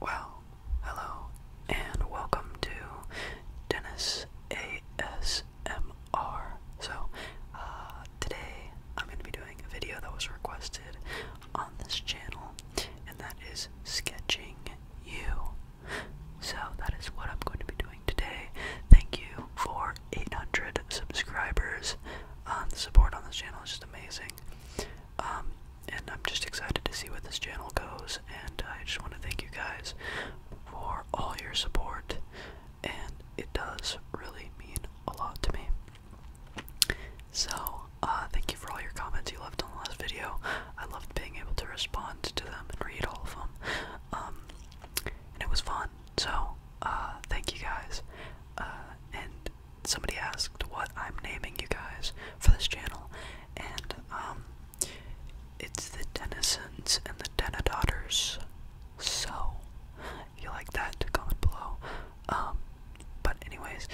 Well, hello, and welcome to Dennis ASMR. So, uh, today I'm going to be doing a video that was requested on this channel, and that is sketching you. So, that is what I'm going to be doing today. Thank you for 800 subscribers. Uh, the support on this channel is just amazing. Um, and I'm just excited to see where this channel goes. And I just want to thank you guys for all your support. And it does really mean a lot to me. So, uh, thank you for all your comments you left on the last video. I loved being able to respond to them and read all of them. Um, and it was fun. So, uh, thank you guys. Uh, and somebody asked what I'm naming you guys for this channel, and um, it's the Denisons and the Denodaughters. So, if you like that, comment below. Um, but anyways,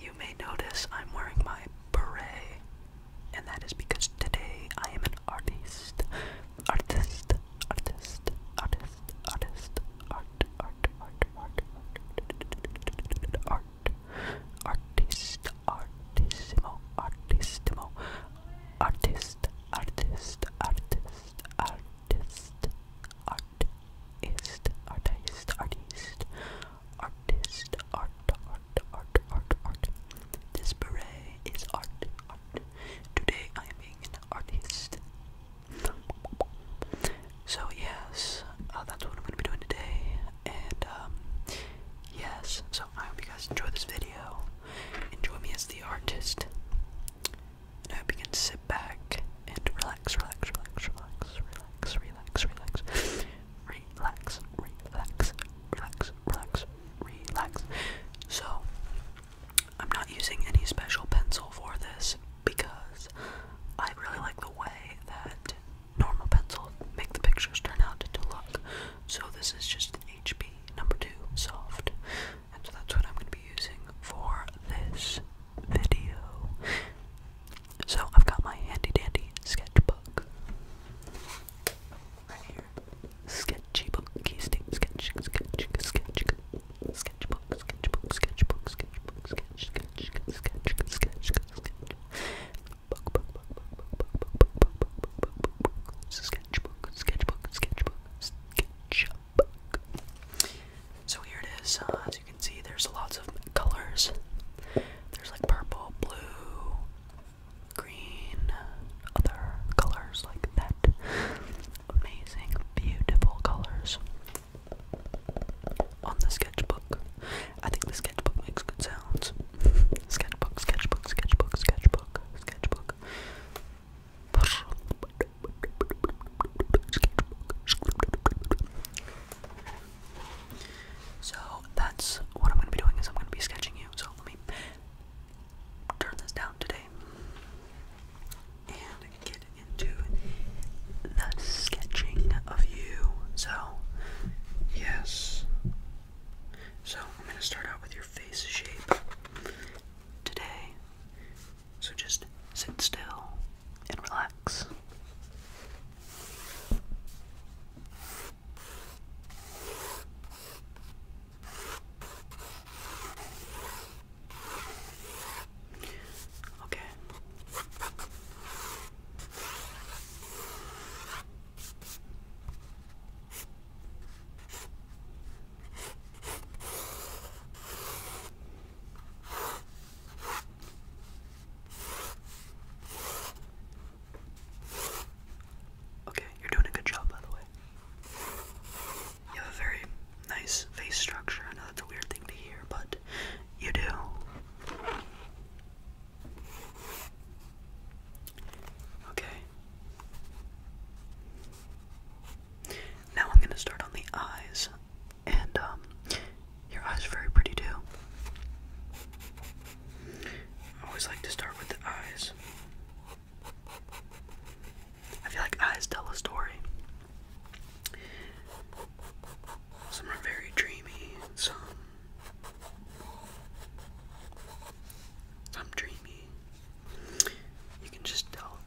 you may notice I'm wearing my beret, and that is because today I am an artist. Artist, artist, artist, artist, art, art, art, art, art, art artist, artissimo, artissimo, artist, artist, artist, artist, artist, artist, artist, artist, art, art, art, art, art. This beret is art, art. Today I am being an artist. So yes, uh, that's what I'm gonna be doing today, and um, yes. So I hope you guys enjoy this video. Enjoy me as the artist, and I hope you can sit back and relax, relax, relax, relax, relax, relax, relax, relax, relax, relax, relax, relax. So I'm not using any special pencil for this because I really like the way that normal pencil make the pictures turn out to look. So this is just an HP number two soft. And so that's what I'm gonna be using for this video. So I've got my handy dandy sketchbook. Right here. Sketchy book, key state, sketch, sketch, sketch, sketchbook, sketchbook, sketchbook, sketchbook, sketch, sketch, sketch, sketch, sketch, sketch, sketch, sketchbook, sketchbook, sketchbook, sketchbook. So here it is. Uh, as you can see, there's lots of colors. There's like purple, blue, green, other colors like that. Amazing, beautiful colors on the sketchbook. I think the sketchbook makes good sounds. sketchbook, sketchbook, sketchbook, sketchbook, sketchbook. So that's what I'm gonna be doing is I'm gonna be sketching you. So let me turn this down today and get into the sketching of you. So, yes. So, I'm going to start out with your face shape today. So, just sit still and relax. Okay, Okay, you're doing a good job, by the way. You have a very nice face structure. I know that's a weird thing to hear, but you do. Okay. Now I'm going to start on the eyes. And um, your eyes are very pretty too. I always like to start with the eyes. I feel like eyes tell a story. Some are very dreamy, some I'm dreamy. You can just tell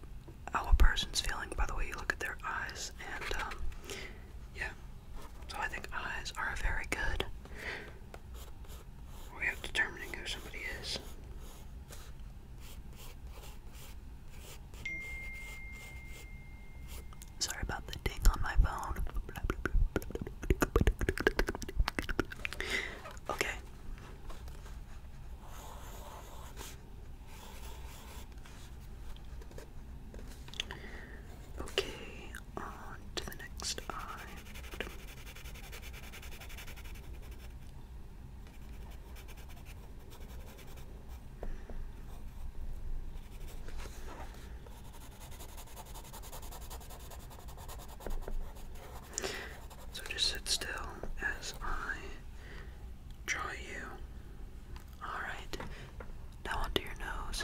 how a person's feeling by the way you look at their eyes, and um, yeah. So I think eyes are very good way determining who somebody is. Sorry about the ding on my phone. Okay. Okay, on to the next eye. So just sit still as I draw you. Alright, now onto your nose.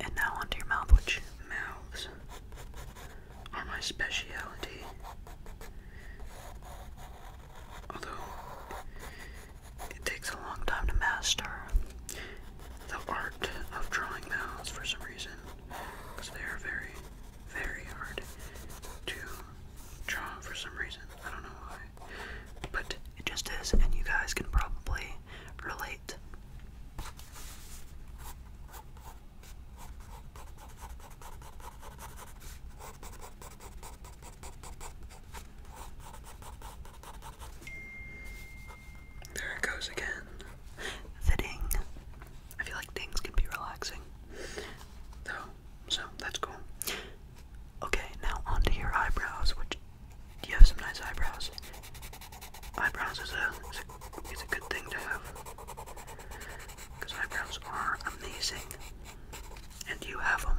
and now onto your mouth, which mouths are my specialty. Although it takes a long time to master the art of drawing mouths for some reason, because they are very, very hard to draw for some reason. I don't know why, but it just is, and you guys can probably relate. There it goes again. The ding. I feel like dings can be relaxing. so that's cool. Okay, now onto your eyebrows, you have some nice eyebrows. Eyebrows is a, is a, good thing to have. Because eyebrows are amazing. And you have them.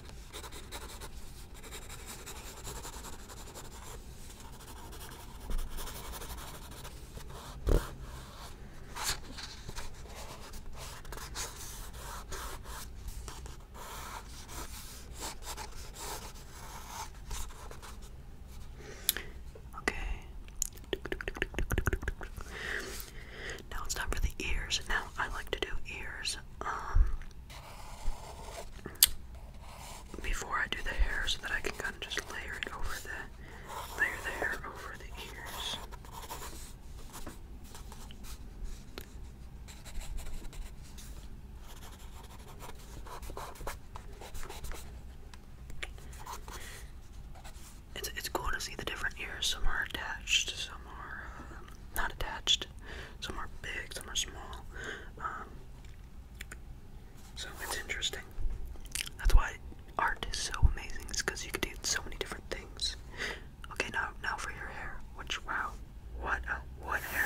Okay. Now it's time for the ears. Now I like to do ears. Um before I do the hair so that I can kind of just layer it over the layer the hair over the ears. It's it's cool to see the different ears. Some are attached, some are uh, not attached. Some are big, some are small. Um, so it's interesting. That's why art is so amazing. It's because you can do so many different things. Okay, now now for your hair. Which wow, what a what hair.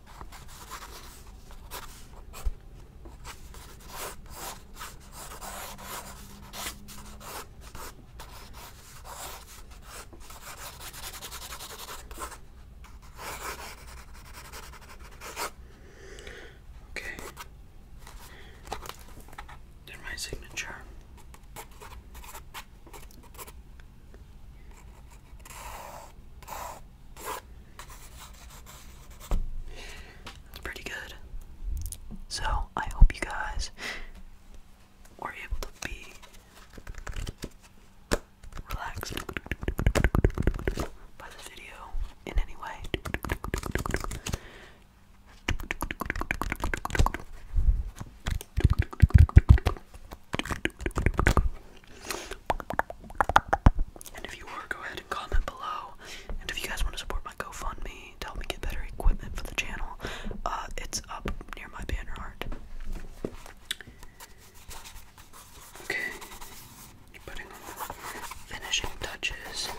Okay. Then my signature. That's pretty good. So, I hope you guys were able to be relaxed by this video in any way. And if you were, go ahead and comment below. And if you guys want to support my GoFundMe to help me get better equipment for the channel, uh, it's up near my banner art. Okay, finishing touches.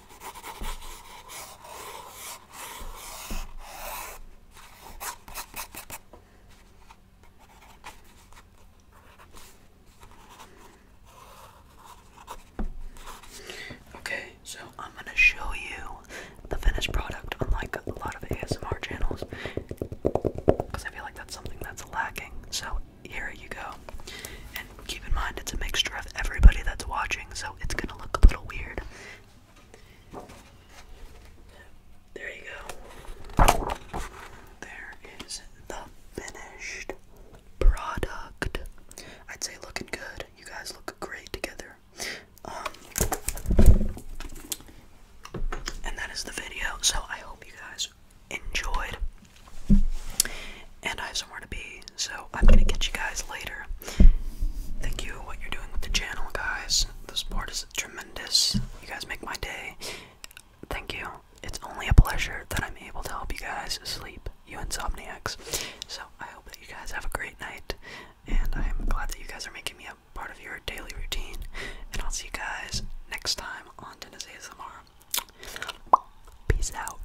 Okay, so I'm gonna show you the finished product, unlike a lot of ASMR channels, because I feel like that's something that's lacking. So here you go, keep in mind, it's a mixture of everybody that's watching, so it's gonna look a little weird. There you go. There is the finished product. I'd say looking good. You guys look great together. Um, and that is the video. So I hope you guys enjoyed and I have somewhere to be, so I'm gonna catch you guys later. Thank you what you're doing with the channel, guys. The support is tremendous. You guys make my day. Thank you. It's only a pleasure that I'm able to help you guys sleep, you insomniacs. So I hope that you guys have a great night, and I'm glad that you guys are making me a part of your daily routine. And I'll see you guys next time on Dennis ASMR. Peace out.